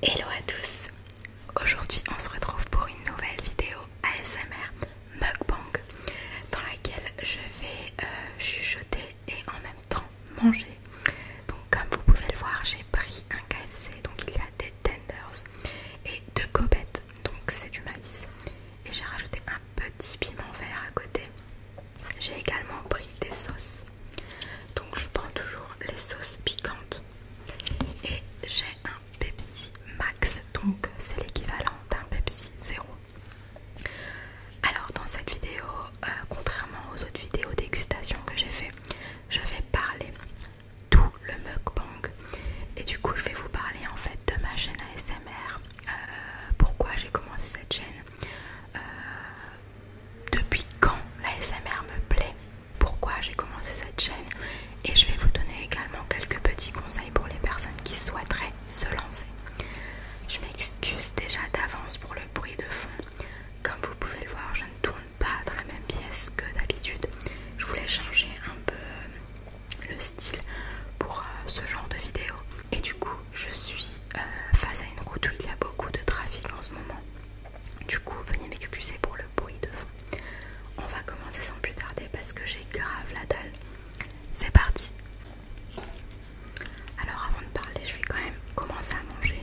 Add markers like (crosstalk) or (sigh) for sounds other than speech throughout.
Hello à tous Aujourd'hui on se retrouve pour une nouvelle vidéo ASMR mukbang dans laquelle je vais euh, chuchoter et en même temps manger. Donc comme vous pouvez le voir j'ai pris un KFC, donc il y a des tenders et deux gobettes, donc c'est du maïs. Et j'ai rajouté un petit piment vert à côté. J'ai également pris des sauces donc je prends toujours les sauces piquantes. Et j'ai un Pepsi Max, donc c'est l'équivalent d'un Pepsi Zéro. Alors dans cette vidéo, euh, contrairement aux autres vidéos dégustation que j'ai fait, je vais parler tout le mukbang. Et du coup je vais vous parler en fait de ma chaîne ASMR, euh, pourquoi j'ai commencé cette chaîne, euh, depuis quand l'ASMR me plaît pourquoi j'ai commencé cette chaîne et je vais vous donner également quelques petits conseils pour les personnes qui souhaiteraient se lancer. Je m'excuse déjà d'avance pour le bruit de fond. Comme vous pouvez le voir, je ne tourne pas dans la même pièce que d'habitude. Je voulais changer un peu le style pour euh, ce genre de vidéo. Et du coup, je suis euh, face à une route où il y a beaucoup de trafic en ce moment. Du coup, venez m'excuser pour le bruit de fond. On va commencer sans plus tarder parce que j'ai grave la dalle. C'est parti. Alors avant de parler, je vais quand même commencer à manger.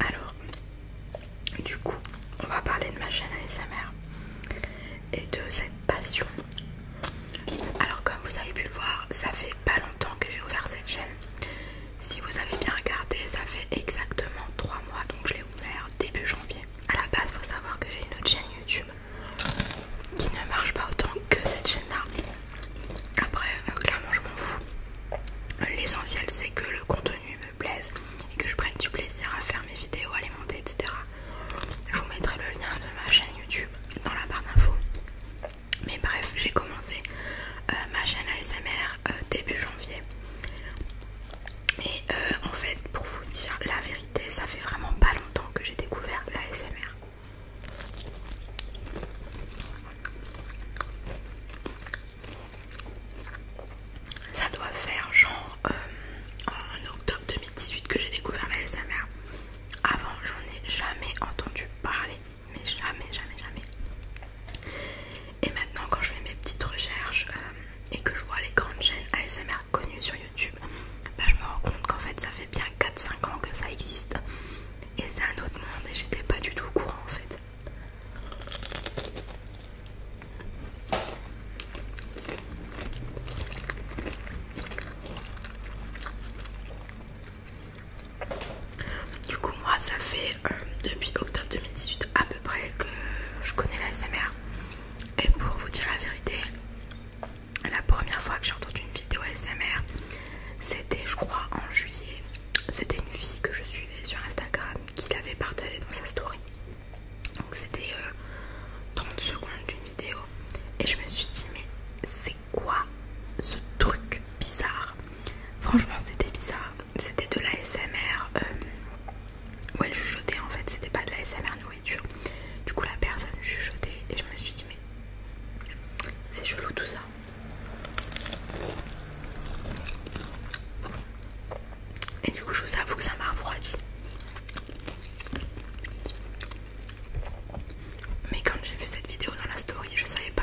Alors, du coup, on va parler de ma chaîne ASMR et de cette passion. Alors, comme vous avez pu le voir, ça fait pas longtemps que j'ai ouvert cette chaîne. Si vous avez bien regardé, ça fait exactement 3 mois donc je l'ai ouvert début janvier. À la base, faut savoir que j'ai une autre chaîne YouTube qui ne marche pas autant que cette chaîne-là. Après, euh, clairement, je m'en fous. L'essentiel, c'est que le contenu me plaise et que je prenne du plaisir à faire mes vidéos, à les monter, etc. Je vous mettrai le lien de ma chaîne YouTube dans la barre d'infos. Mais bref, j'ai commencé euh, ma chaîne ASMR euh, début janvier. Et euh, en fait, pour vous dire la vérité, ça fait vraiment pas longtemps que j'ai découvert la l'ASMR. Ça doit faire genre euh, en octobre 2018 que j'ai découvert la l'ASMR. Avant, j'en ai jamais entendu parler, mais jamais, jamais, jamais. Et maintenant, quand je fais mes petites recherches euh, et que je vois les grandes chaînes ASMR connues sur YouTube, bah, je me rends compte qu'en fait ça fait bien 4-5 ans que ça existe. Et c'est un autre monde et j'étais pas du tout au courant en fait. Du coup, moi, ça fait euh, depuis octobre 2018 à peu près que je connais la SMR. Et pour vous dire la vérité, la première fois que j'ai entendu une vidéo SMR, c'était, je crois, en juillet. C'était une fille que je suivais sur Instagram qui l'avait partagée dans sa story. Donc, c'était 30 euh, secondes d'une vidéo. Et je me suis dit, mais c'est quoi ce truc bizarre Franchement, c'était bizarre c'était de l'ASMR smr euh, ou elle chuchotait en fait, c'était pas de l'ASMR nourriture. Du coup, la personne chuchotait et je me suis dit, mais c'est chelou tout ça. Et du coup, je vous avoue que ça m'a refroidi. Mais quand j'ai vu cette vidéo dans la story, je savais pas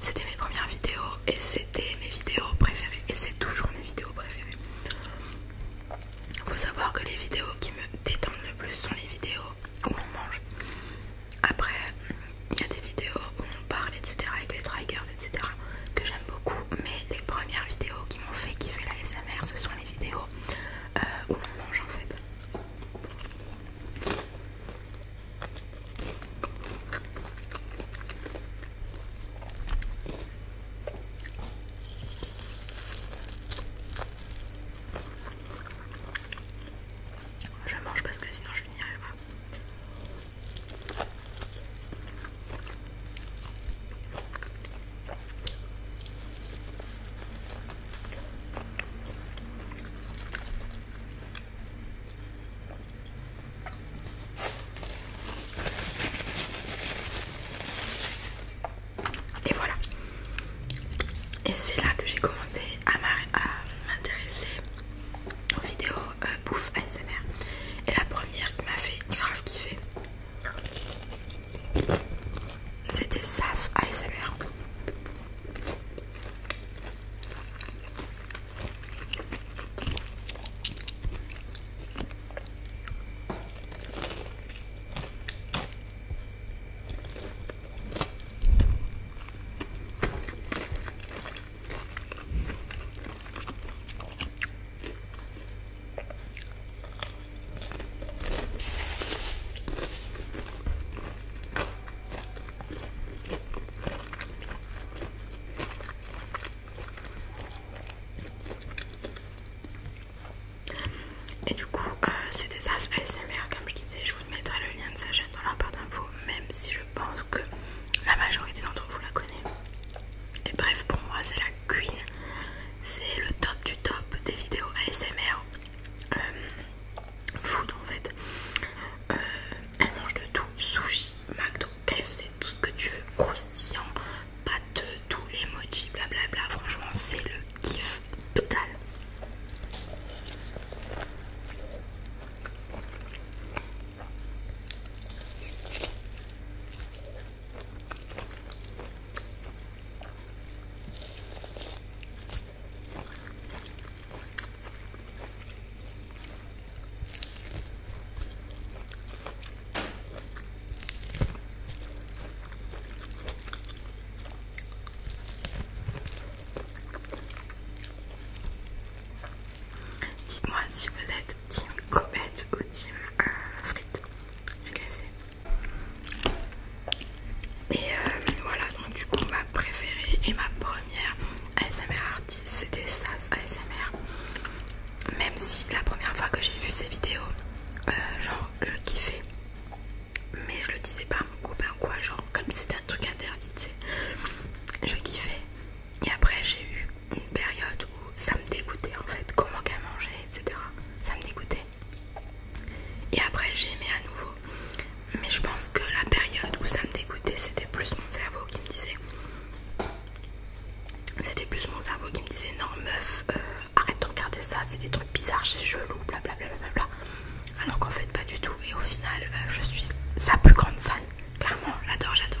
C'était mes premières vidéos et c'était mes vidéos préférées et c'est toujours mes vidéos préférées. Faut savoir que les vidéos qui me détendent le plus sont les vidéos où on mange. Après, il y a des vidéos où on parle, etc. avec les triggers, etc. que j'aime beaucoup. Mais les premières vidéos qui m'ont fait kiffer la SMR, ce sont les vidéos euh, où on mange en fait. Je mange parce que sinon je finirai pas. Et voilà. Et c'est là que j'ai commencé à m'intéresser aux vidéos euh, bouffe ASMR. Et la première qui m'a fait grave kiffer, c'était Sas ASMR. Et du coup, euh, c'est des aspects ASMR, comme je disais, je vous mettrai le lien de sa chaîne dans la barre d'infos, même si je pense que la majorité d'entre vous la connaît. Et bref, pour moi, c'est la Queen. C'est le top du top des vidéos ASMR euh, food en fait. Euh, elle mange de tout, sushi, McDo, C'est tout ce que tu veux, croustillant, de tout les bla blablabla. Franchement, c'est le kiff total. Dites-moi si vous êtes team comète ou team euh, frites du et euh, voilà, donc du coup, ma préférée et ma première ASMR artiste, c'était Sas ASMR. Même si la première fois que j'ai vu ces vidéos, euh, genre, je kiffais. Mais je le disais pas à mon copain quoi, genre, comme c'était un truc interdit, tu sais. Je kiffais. Et après, j'ai eu une période où ça me dégoûtait en fait, comment qu'elle mangeait, etc. Ça me dégoûtait. Et après j'ai aimé à nouveau. Mais je pense que la période où ça me dégoûtait, c'était plus mon cerveau qui me disait... C'était plus mon cerveau qui me disait non meuf, euh, arrête de regarder ça, c'est des trucs bizarres chez Gelou, blablabla. Bla bla bla. Alors qu'en fait pas du tout. Et au final, euh, je suis sa plus grande fan. Clairement, j'adore, j'adore.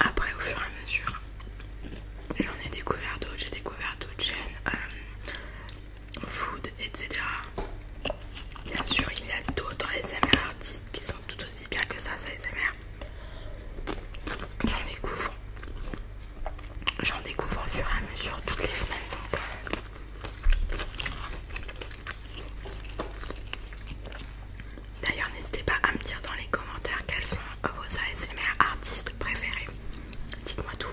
Après, au fur et à mesure, j'en ai découvert d'autres. J'ai découvert d'autres chaînes euh, food, etc. Bien sûr, il y a d'autres ASMR artistes qui sont tout aussi bien que ça, ça ASMR. J'en découvre. J'en découvre au fur et à mesure toutes les semaines. D'ailleurs, n'hésitez pas à me dire dans les commentaires quels sont vos ASMR artistes préférés. Dites-moi tout.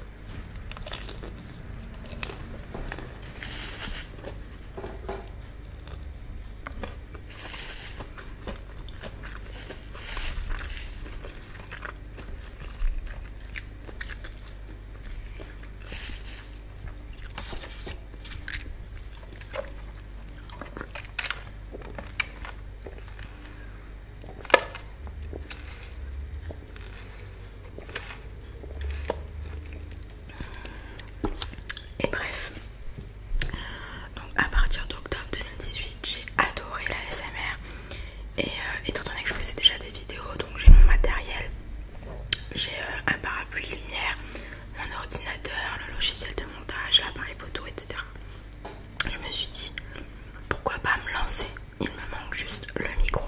Et bref, donc à partir d'octobre 2018, j'ai adoré la SMR. Et euh, étant donné que je faisais déjà des vidéos, donc j'ai mon matériel, j'ai euh, un parapluie lumière, mon ordinateur, le logiciel de montage, l'appareil photo, etc. Je me suis dit pourquoi pas me lancer, il me manque juste le micro.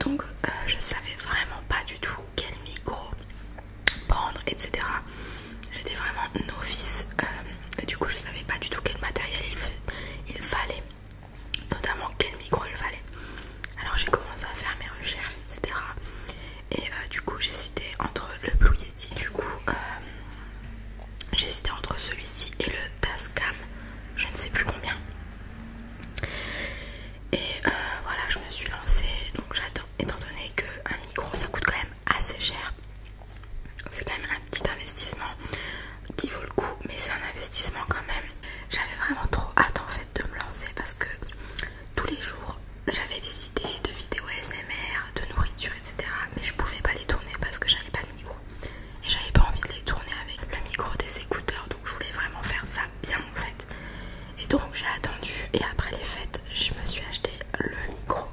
Donc euh, je savais vraiment pas du tout quel micro prendre, etc. J'étais vraiment novice, euh, du coup je savais pas du tout quel matériel il, il fallait, notamment quel micro il fallait. Alors j'ai commencé à faire mes recherches, etc et euh, du coup j'ai cité entre le Blue Yeti du coup euh, j'ai j'hésitais entre celui-ci et le Tascam je ne sais plus combien et euh, voilà je me suis lancée donc étant donné qu'un micro ça coûte quand même assez cher c'est quand même un petit investissement qui vaut le coup mais c'est un investissement quand même j'avais vraiment trop hâte en fait de me lancer parce que tous les jours j'avais des idées de vidéos SMR de nourriture, etc. Mais je pouvais pas les tourner parce que j'avais pas de micro et j'avais pas envie de les tourner avec le micro des écouteurs donc je voulais vraiment faire ça bien en fait. Et donc j'ai attendu et après les fêtes je me suis acheté le micro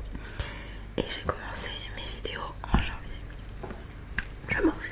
et j'ai commencé mes vidéos en janvier. Je mange.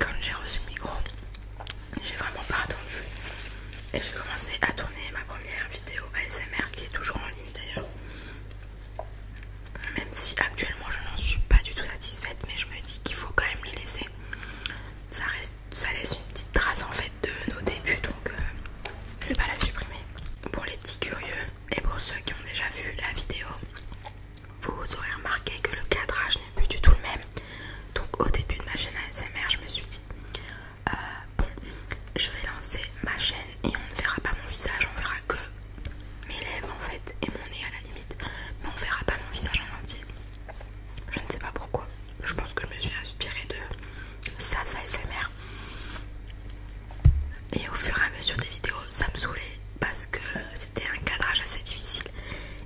Quand j'ai reçu le micro, j'ai vraiment pas attendu et j'ai commencé à tourner ma première vidéo ASMR qui est toujours en ligne d'ailleurs. Même si actuellement je n'en suis pas du tout satisfaite, mais je me dis qu'il faut quand même les laisser. Ça reste ça laisse une petite trace en fait de nos débuts donc euh, je vais pas la supprimer. Pour les petits curieux et pour ceux qui ont déjà vu la vidéo, vous aurez remarqué que le cadrage n'est plus du tout le même. Donc au début de ma chaîne ASMR, je me suis dit euh, bon, je vais lancer ma chaîne et on ne verra pas mon visage, on verra que mes lèvres en fait et mon nez à la limite, mais on verra pas mon visage en entier. Je ne sais pas pourquoi. Je pense que je me suis inspirée de ça, ça Et au fur et à mesure des vidéos, ça me saoulait parce que c'était un cadrage assez difficile.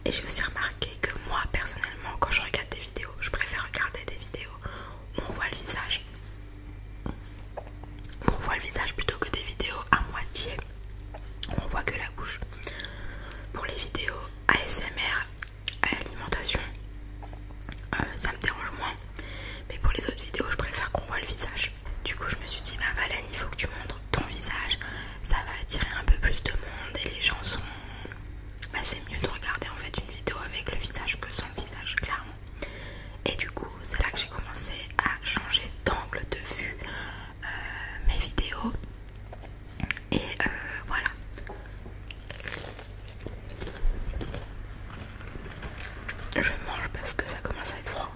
Et j'ai aussi remarqué que moi, personnellement, quand je regarde des vidéos, je préfère regarder des vidéos où on voit le visage. On voit le visage plutôt que des vidéos à moitié. Où On voit que la bouche. Pour les vidéos ASMR, à l'alimentation, euh, ça me dérange moins. Mais pour les autres vidéos, je préfère qu'on voit le visage. Du coup, je me suis dit, bah Valène, il faut que tu montres ton visage. Ça va attirer un peu plus de monde et les gens sont. Bah, c'est mieux de regarder en fait une vidéo avec le visage que sans visage, clairement. Et du coup, c'est là que j'ai commencé à changer d'angle de vue euh, mes vidéos. Et euh, voilà. Je mange parce que ça commence à être froid.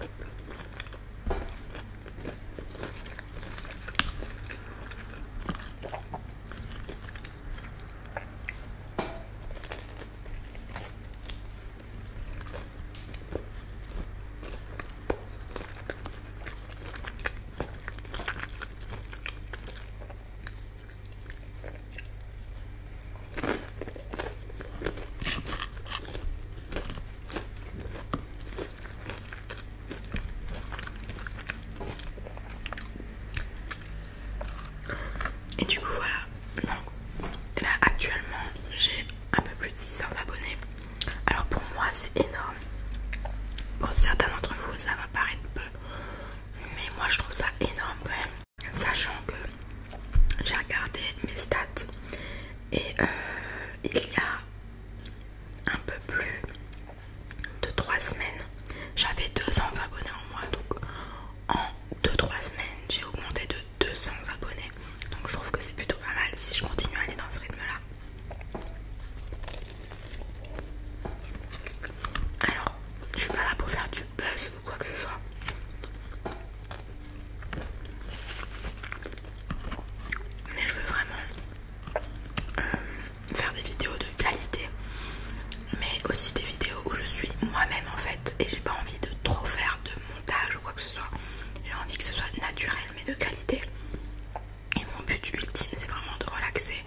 Et du coup voilà, là actuellement j'ai un peu plus de 600 abonnés alors pour moi c'est énorme. Pour certains d'entre vous ça va paraître peu, mais moi je trouve ça énorme quand même. Sachant que j'ai regardé mes stats et euh, il y a un peu plus de 3 semaines, j'avais 200 abonnés en moi. Donc en 2-3 semaines j'ai augmenté de 200 abonnés. Donc je trouve que c'est plutôt pas mal si je continue à aller dans ce rythme là. Alors, je suis pas là pour faire du buzz ou quoi que ce soit. Mais je veux vraiment euh, faire des vidéos de qualité. Mais aussi des vidéos où je suis moi-même en fait. Et j'ai pas envie de trop faire de montage ou quoi que ce soit. J'ai envie que ce soit naturel mais de qualité. Et mon but ultime, c'est vraiment de relaxer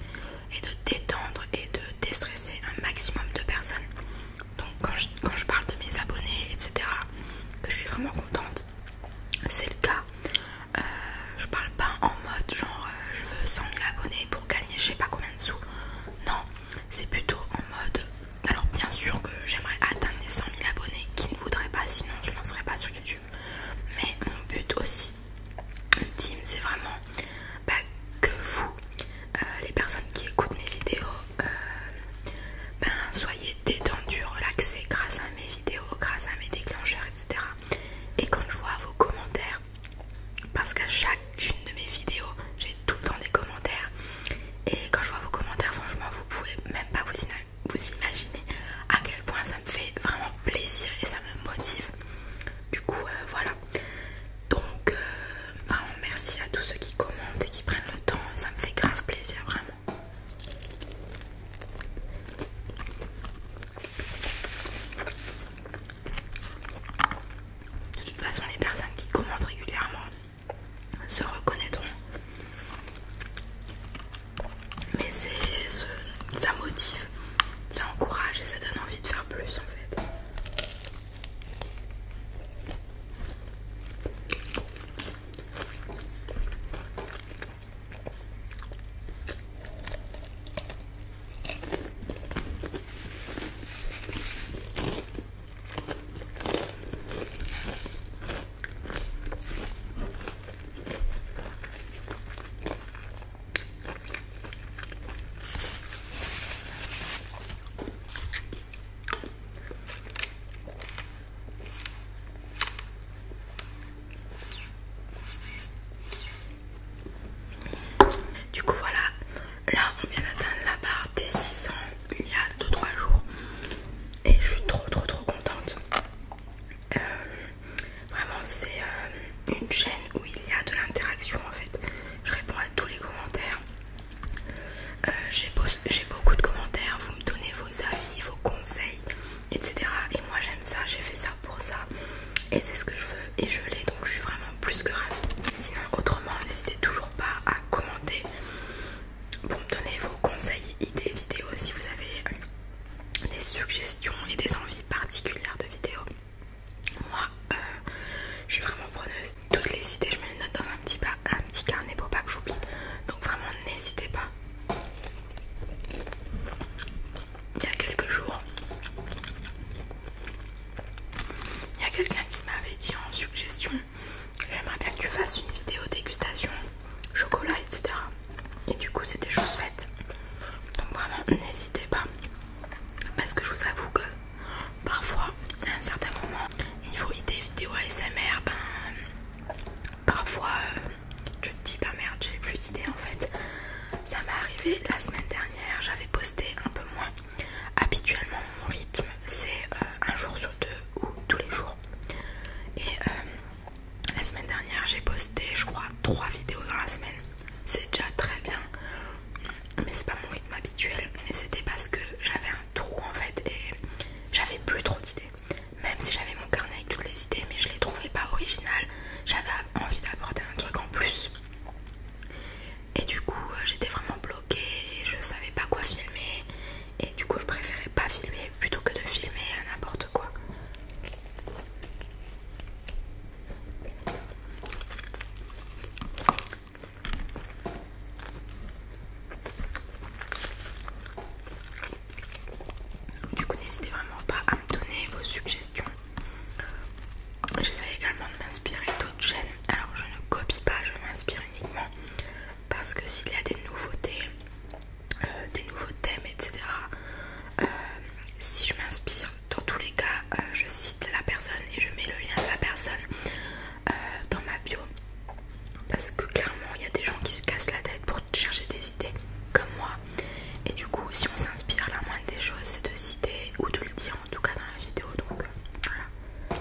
et de détendre et de déstresser un maximum de personnes. Donc quand je, parle de mes abonnés, etc., je suis vraiment contente, c'est le cas. Euh, je parle pas en mode genre euh, je veux 100 000 abonnés pour gagner je sais pas combien de sous. Non, c'est plutôt en mode... Alors bien sûr que j'aimerais atteindre les 100 000 abonnés qui ne voudraient pas, sinon je n'en serais pas sur YouTube. Mais mon but aussi, team, c'est vraiment bah, que vous, euh, les personnes qui écoutent mes vidéos, euh, ben, soyez détendus, relaxés grâce à mes vidéos, grâce à mes déclencheurs, etc. Et quand je vois vos commentaires, parce qu'à chacune de mes vidéos, j'ai tout le temps des commentaires. Et quand je vois vos commentaires, franchement, vous pouvez même pas vous imaginer vous imaginez à quel point ça me fait vraiment plaisir et ça me motive. Du coup, euh, voilà. Donc, euh, vraiment merci à tous ceux qui commentent et qui prennent le temps. Ça me fait grave plaisir, vraiment. De toute façon, les personnes qui commentent régulièrement se reconnaîtront mais c'est ça motive, ça encourage et ça donne envie de faire plus en fait. Du coup voilà, là on vient d'atteindre la barre des six ans il y a 2-3 jours et je suis trop trop trop contente. Euh, vraiment c'est euh, une chaîne où il y a de l'interaction en fait. Je réponds à tous les commentaires. Euh, j'ai beaucoup de commentaires, vous me donnez vos avis, vos conseils, etc. Et moi j'aime ça, j'ai fait ça pour ça. Et c'est ce que je veux et je l'ai donc je suis vraiment plus que ravie. Sinon autrement n'hésitez toujours pas à commenter pour me donner vos conseils, idées, vidéos si vous avez des suggestions et des envies particulières de vidéos. Moi, euh, je suis vraiment preneuse. Toutes les idées, je me les note dans un petit, un petit carnet pour pas que j'oublie. Donc vraiment, n'hésitez pas. Il y a quelques jours, il y a quelqu'un qui m'avait dit en suggestion, j'aimerais bien que tu fasses une vidéo dégustation, chocolat, etc. Et du coup, c'était choses faites Donc, vraiment, n'hésitez pas. Parce que je vous avoue que parfois, à un certain moment, niveau idée vidéo ASMR, ben parfois euh, je tu te dis bah merde, j'ai plus d'idées en fait. Ça m'est arrivé la semaine dernière, j'avais posté un peu moins. Habituellement, mon rythme c'est euh, un jour sur deux ou tous les jours. Et euh, la semaine dernière, j'ai posté, je crois, 3 vidéos dans la semaine. C'est déjà très bien, mais c'est pas mon rythme habituel. Mais c'était parce que j'avais un trou en fait et j'avais plus trop d'idées. Même si j'avais mon carnet avec toutes les idées, mais je les trouvais pas originales. J'avais envie d'apporter un truc en plus. Et du coup, euh, j'étais vraiment bloquée, je savais pas quoi filmer et du coup je préférais pas filmer plutôt que de filmer n'importe quoi du coup n'hésitez vraiment pas à me donner vos suggestions j'essaie également de m'inspirer d'autres chaînes alors je ne copie pas je m'inspire uniquement parce que s'il y a des nouveautés euh, des nouveaux thèmes, etc. Euh, si je m'inspire, dans tous les cas, euh, je cite la personne et je mets le lien de la personne dans ma bio. Parce que clairement, il y a des gens qui se cassent la tête pour chercher des idées, comme moi. Et du coup, si on s'inspire, la moindre des choses, c'est de citer ou de le dire, en tout cas dans la vidéo. Donc, voilà.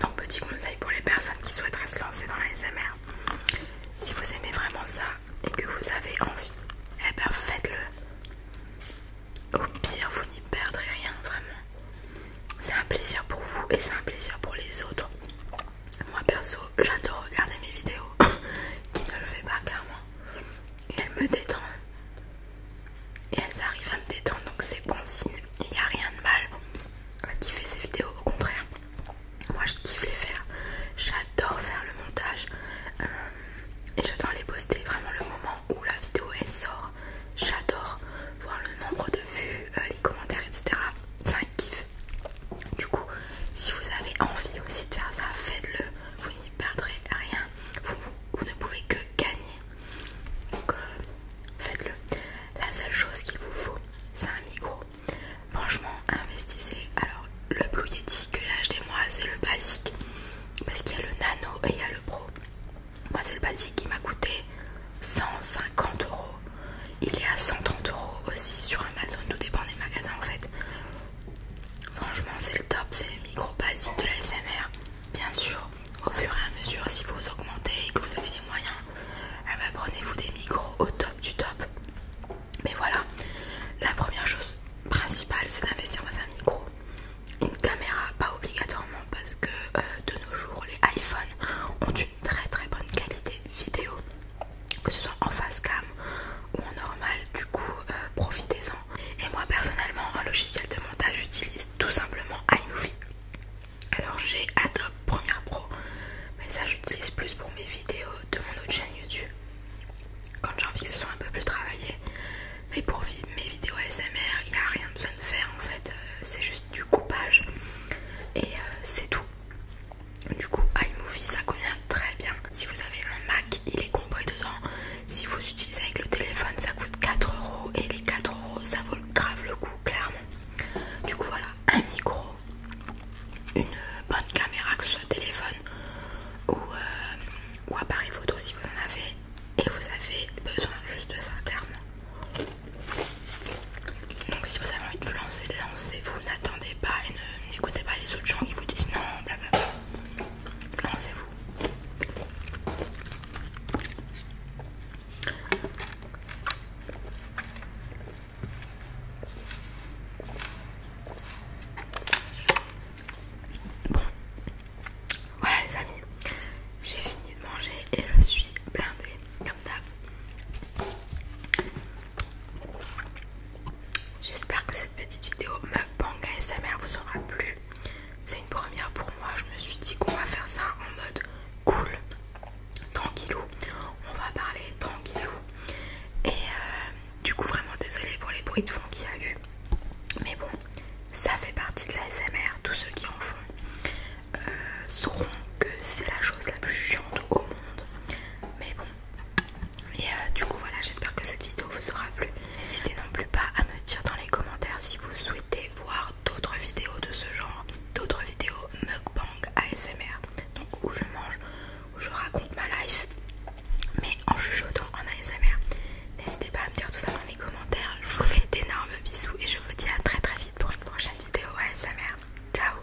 Donc petit conseil pour les personnes qui souhaiteraient se lancer dans la SMR. Si vous aimez vraiment ça et que vous avez envie, eh ben faites-le. Au pire, vous n'y perdrez rien, vraiment. C'est un plaisir pour vous et c'est un plaisir pour les autres. Moi perso, j'adore regarder mes vidéos (laughs) qui ne le fait pas clairement. Elle elles me détendent et elles arrivent à me détendre donc c'est bon signe il n'y a rien de mal qui fait ces vidéos au contraire moi je kiffe les faire j'adore faire le montage euh, et j'adore les poster vraiment le moment où la vidéo elle sort j'adore voir le nombre de vues euh, les commentaires etc Ça kiff du coup si vous avez envie aussi de faire ça faites le perdrez rien. Vous, ne pouvez que gagner. Donc euh, faites-le. La seule chose qu'il vous faut, c'est un micro. Franchement, investissez. Alors le Blue Yeti que j'ai acheté moi, c'est le basique. Parce qu'il y a le nano et il y a le pro. Moi c'est le basique qui m'a coûté 150 euros. Il est à 130 euros aussi sur Amazon, tout dépend des magasins en fait. Franchement c'est le top, c'est le micro basique de la SMR. Bien sûr, au fur et à mesure, si vous augmentez et que vous avez les moyens, eh ben, prenez-vous des micros au top du top. Mais voilà, la première chose principale, c'est d'investir dans un micro. Une caméra, pas obligatoirement, parce que euh, de nos jours, les iPhones ont une très très bonne qualité vidéo, que ce soit en face cam ou en normal. Du coup, euh, profitez-en. Et moi personnellement, un logiciel de montage, j'utilise tout simplement iMovie. Alors j'ai Adobe Premiere Pro, mais ça j'utilise plus pour mes vidéos de mon autre chaîne YouTube. Quand j'ai envie que ce soit un peu plus travaillé. Mais pour mes vidéos SMR, il n'y a rien besoin de faire en fait. Euh, c'est juste du coupage. Et euh, c'est tout. Du coup, iMovie, ça convient très bien. Si vous avez un Mac, il est compris dedans. Si vous utilisez avec le téléphone, ça coûte 4€ et les 4€ ça vaut grave le coup, clairement. Du coup, voilà un micro, une bonne caméra, que ce soit téléphone euh, ou, appareil photo si vous en avez, et vous avez besoin juste de ça, clairement. Donc, si vous avez envie de vous lancer, lancez-vous, n'attendez pas et n'écoutez pas les autres gens qui vous disent non, blablabla. Bla bla. Lancez-vous. Voilà les amis, j'ai fini de manger et je suis blindée comme d'hab. J'espère que cette petite vidéo me sa ASMR vous aura plu. C'est une première pour moi. Je me suis dit qu'on va faire ça en mode cool, tranquillou. On va parler tranquillou. Et euh, du coup, vraiment désolé pour les bruits de fond qu'il y a eu. Mais bon, ça fait partie de la SMR. Tous ceux qui en font euh, sauront que c'est la chose la plus chiante au monde. Mais bon, et euh, du coup voilà, j'espère que cette vidéo vous aura plu. N'hésitez non plus pas à me dire dans les commentaires si vous souhaitez voir d'autres vidéos de ce genre, d'autres vidéos mukbang ASMR, donc où je mange, où je raconte ma life, mais en chuchotant en ASMR. N'hésitez pas à me dire tout ça dans les commentaires. Je vous fais d'énormes bisous et je vous dis à très très vite pour une prochaine vidéo ASMR. Ciao